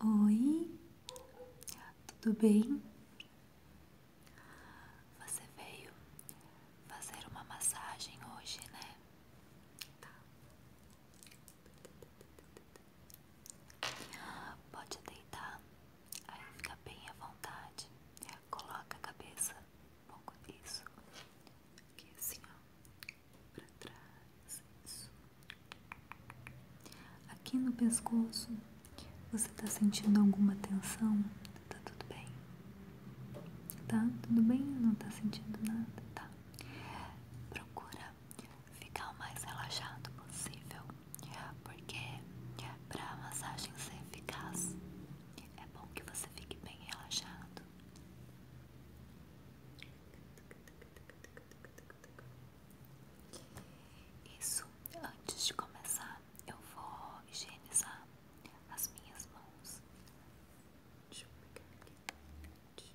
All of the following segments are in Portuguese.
Oi, tudo bem? Você veio fazer uma massagem hoje, né? Tá. Pode deitar, aí fica bem à vontade. Coloca a cabeça um pouco nisso, aqui assim, ó. Aqui no pescoço, você tá sentindo alguma tensão? Tá tudo bem? Tá tudo bem? Não tá sentindo nada? Tá. Procura ficar o mais relaxado possível, porque para a massagem ser eficaz, é bom que você fique bem relaxado. Isso, antes de começar, eu vou higienizar as minhas mãos. Deixa eu pegar aqui.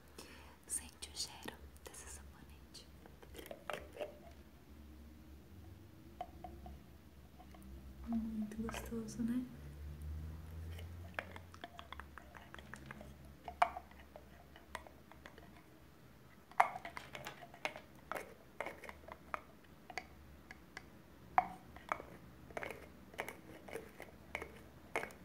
Sente o cheiro desse sabonete. Muito gostoso, né?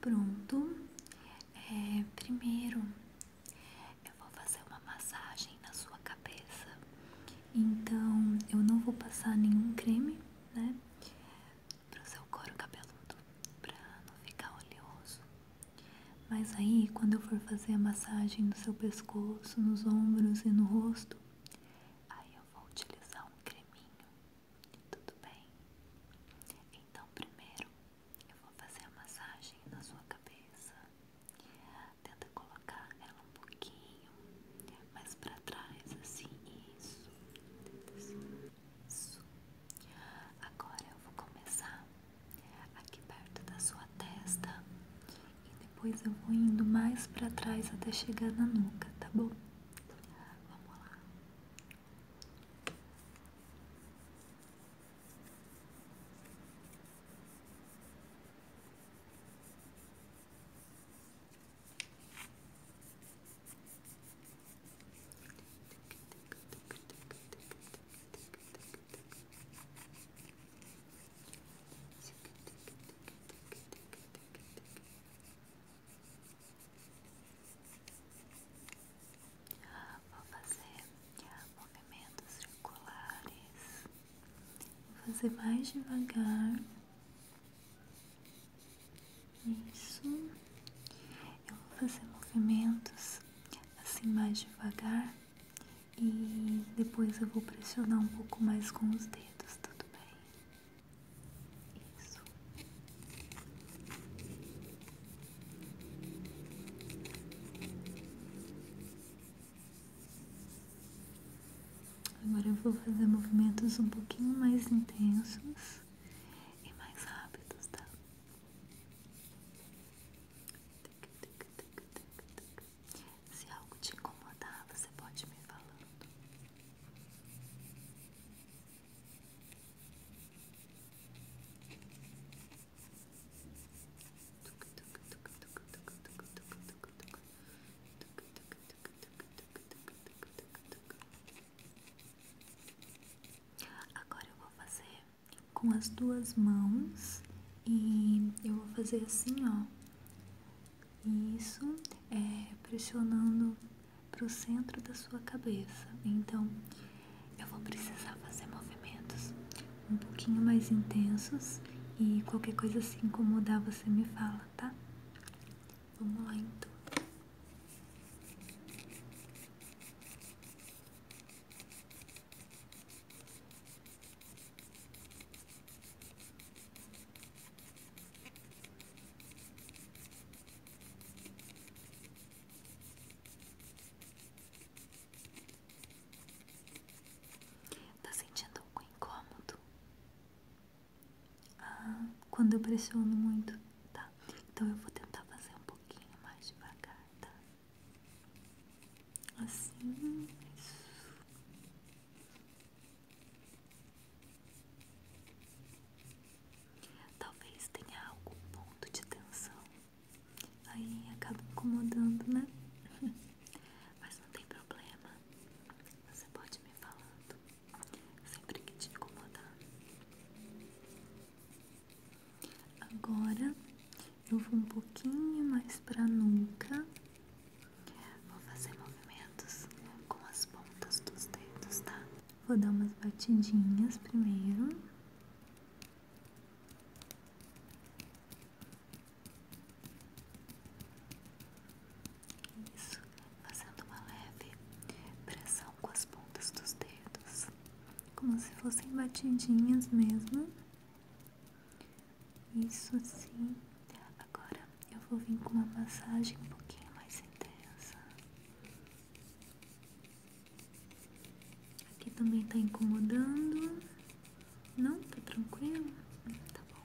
Pronto, é, primeiro eu vou fazer uma massagem na sua cabeça, então eu não vou passar nenhum creme, né? para o seu couro cabeludo para não ficar oleoso. Mas aí, quando eu for fazer a massagem no seu pescoço, nos ombros e no rosto, aí eu vou utilizar um creminho. Tudo bem? Então, primeiro eu vou fazer a massagem na sua cabeça. Tenta colocar ela um pouquinho mais para trás, assim. Isso. Tenta assim. Agora eu vou começar aqui perto da sua testa e depois eu vou indo mais para trás até chegar na nuca, tá bom? Vamos lá. Vou fazer ah, movimentos circulares. Vou fazer mais devagar. Isso. Eu vou fazer movimentos assim mais devagar e depois eu vou pressionar um pouco mais com os dedos, tudo bem? Isso. Agora eu vou fazer movimentos um pouquinho mais intensos e mais rápidos, tá? Se algo te incomodar, você pode me falando. Agora eu vou fazer com as duas mãos e eu vou fazer assim, ó. Isso é pressionando para o centro da sua cabeça. Então, eu vou precisar fazer movimentos um pouquinho mais intensos e qualquer coisa se assim incomodar você me fala, tá? Vamos lá então. Tá sentindo algum incômodo? Ah, quando eu pressiono muito, tá? Então eu vou tentar fazer um pouquinho mais devagar, tá? Assim, isso. Talvez tenha algum ponto de tensão. Aí acaba incomodando, né? Mas não tem problema. Você pode me falando sempre que te incomodar. Agora eu vou um pouquinho mais pra nuca. Vou fazer movimentos com as pontas dos dedos, tá? Vou dar umas batidinhas primeiro. Isso, fazendo uma leve pressão com as pontas dos dedos, como se fossem batidinhas mesmo. Isso sim. Agora eu vou vir com uma massagem um pouquinho mais intensa. Aqui também tá incomodando. Não? Tá tranquilo? Tá bom.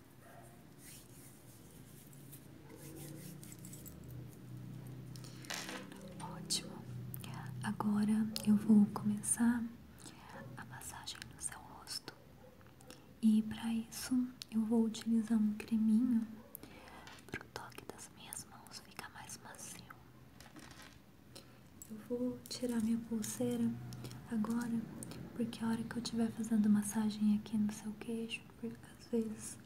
Ótimo. Agora eu vou começar a massagem no seu rosto. E para isso eu vou utilizar um creminho para o toque das minhas mãos ficar mais macio. Eu vou tirar minha pulseira agora, porque a hora que eu estiver fazendo massagem aqui no seu queixo, porque às vezes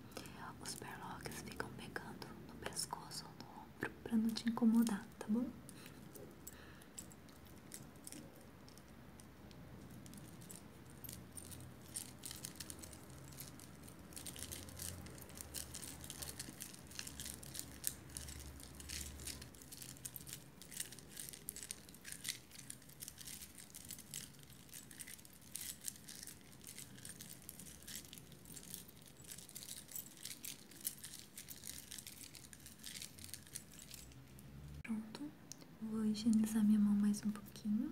os perlocks ficam pegando no pescoço ou no ombro pra não te incomodar, tá bom? Pronto, vou higienizar minha mão mais um pouquinho.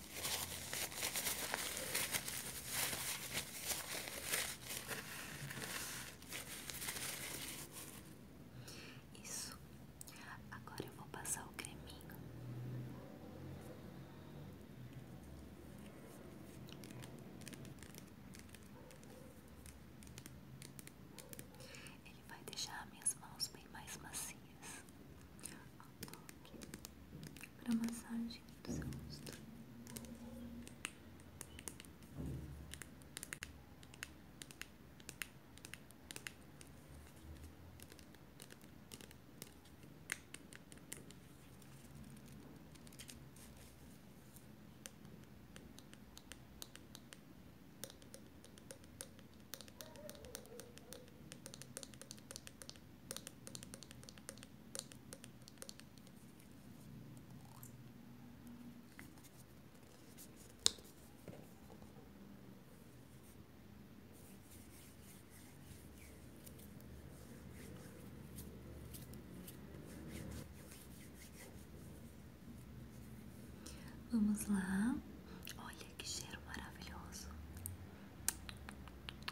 Isso. Agora eu vou passar o creminho. Ele vai deixar minhas mãos bem mais macias ao toque para massagem do seu rosto. Vamos lá, olha que cheiro maravilhoso.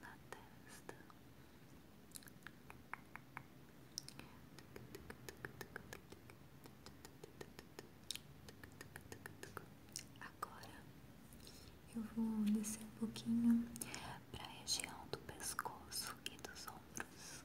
na testa agora eu vou descer um pouquinho para a região do pescoço e dos ombros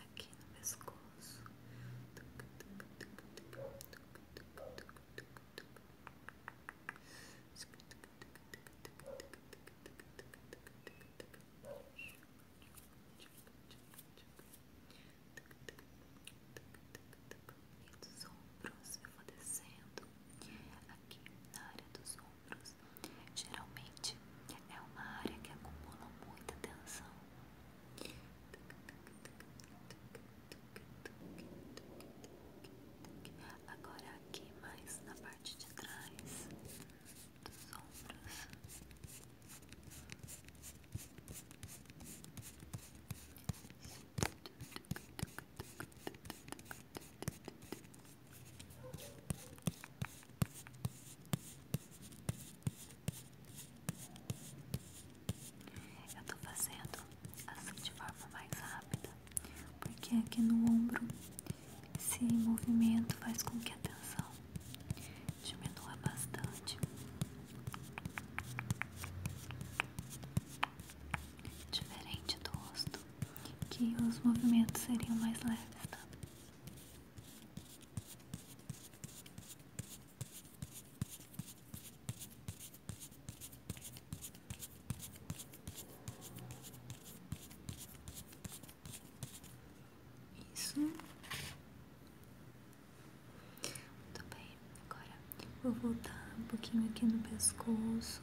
aqui no pescoço. E dos ombros, eu vou descendo aqui na área dos ombros, Geralmente é uma área que acumula muita tensão. Agora aqui mais na parte de trás dos ombros. Eu tô fazendo assim de forma mais rápida, porque aqui no ombro esse movimento faz com que a tensão diminua bastante. Diferente do rosto, que os movimentos seriam mais leves, tá? Isso. Muito bem, agora vou voltar um pouquinho aqui no pescoço.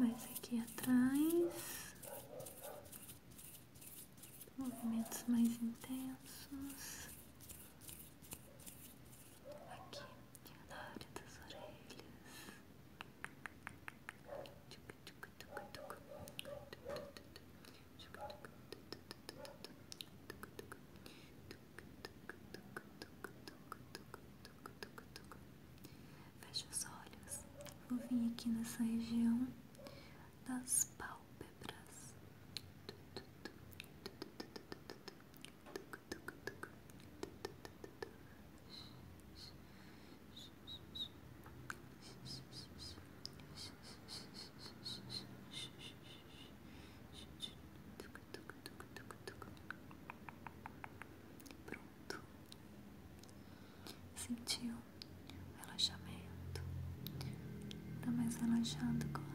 Mais aqui atrás, movimentos mais intensos aqui na área das orelhas. Tchuc, tchuc, Feche os olhos. Vou vir aqui nessa região das pálpebras. Pronto. Sentiu relaxamento? Tá mais relaxado agora?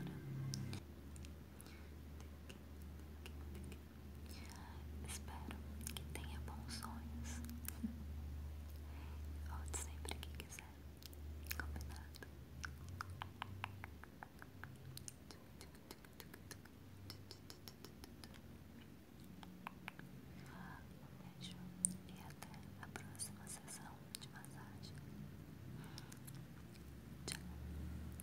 Espero que tenha bons sonhos. Volte sempre que quiser. Combinado? Um beijo e até a próxima sessão de massagem. Tchau.